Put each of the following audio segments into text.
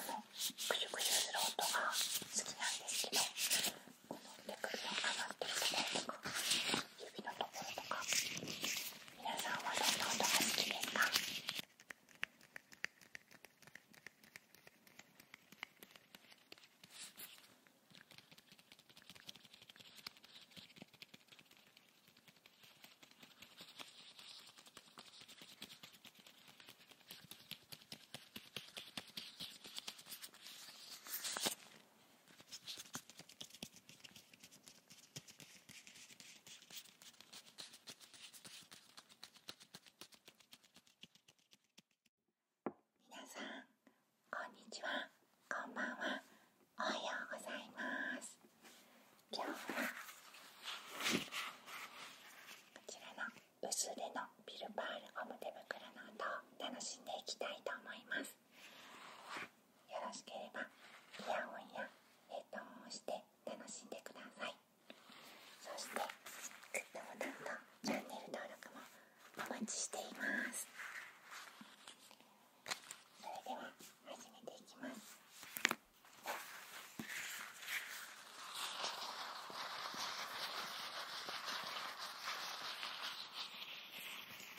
クシュクシュする音が好きなんですけどこの手首を上がってるところとか指のところとか皆さんはどんな音が好きですか皆さんこんにちはこんばんはおはようございます今日はこちらの薄手のビルパールゴム手袋の音を楽しんでいきたいと思いますよろしければイヤホンやヘッドホンをして楽しんでくださいそしてグッドボタンとチャンネル登録もお待ちしていますそれでは始めていきます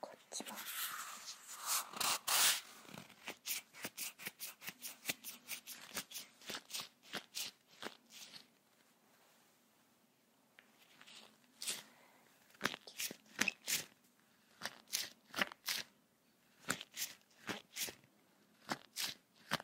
こっちも。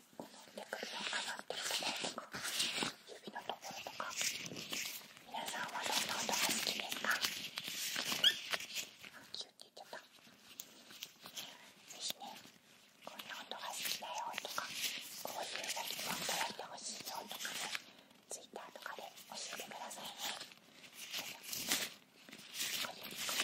この手首をかがってるところとか指のところとか皆さんはどんな音が好きですかあキュッて言っちたぜひねこんな音が好きだよとかこういう先も音やってほしいよとかねツイッターとかで教えてくださいねこれこれ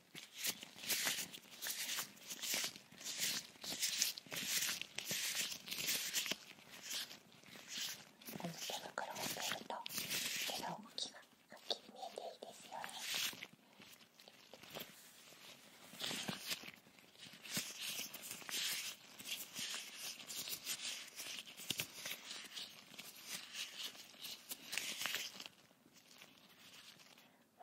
この手袋をしてると手の動きがはっきり見えていいですよねわ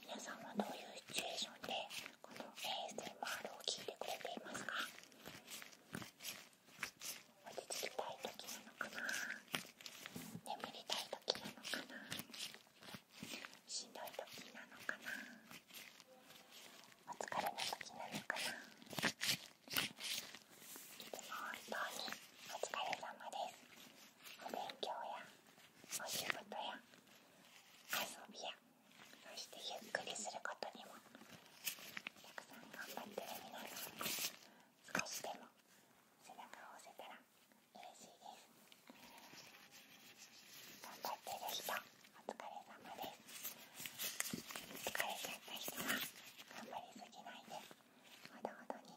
皆さんはどういうシチュエーションでこの ASMR を聞いてくれていますか落ち着きたい時なのかな眠りたい時なのかなしんどい時なのかなお疲れの時なのかないつも本当にお疲れ様ですお勉強やお仕事や遊びやそしてゆっくりすることにもたくさん頑張ってる皆さん少しでも背中を押せたら嬉しいです頑張ってる人お疲れ様です疲れちゃった人は頑張りすぎないでほどほどに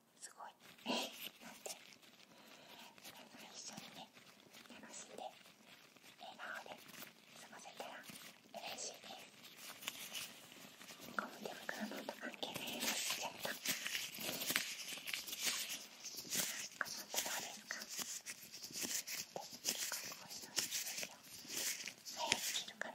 すごいなんで一緒にね楽しんで笑顔で過ごせたら嬉しいですゴム手袋の音関係ないのしちゃったこの音どうですか結構こういうの必早く切るから。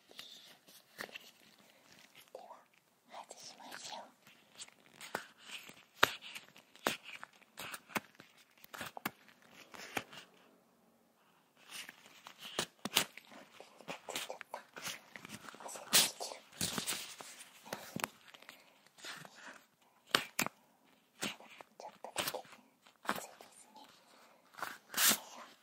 では外しましょう汗がきてるちょっとだけ暑いですね。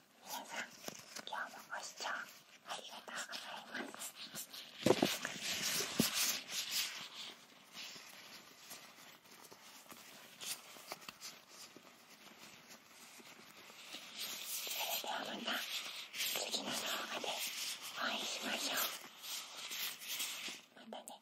皆さん今日もご視聴ありがとうございますそれではまた次の動画でお会いしましょうまたね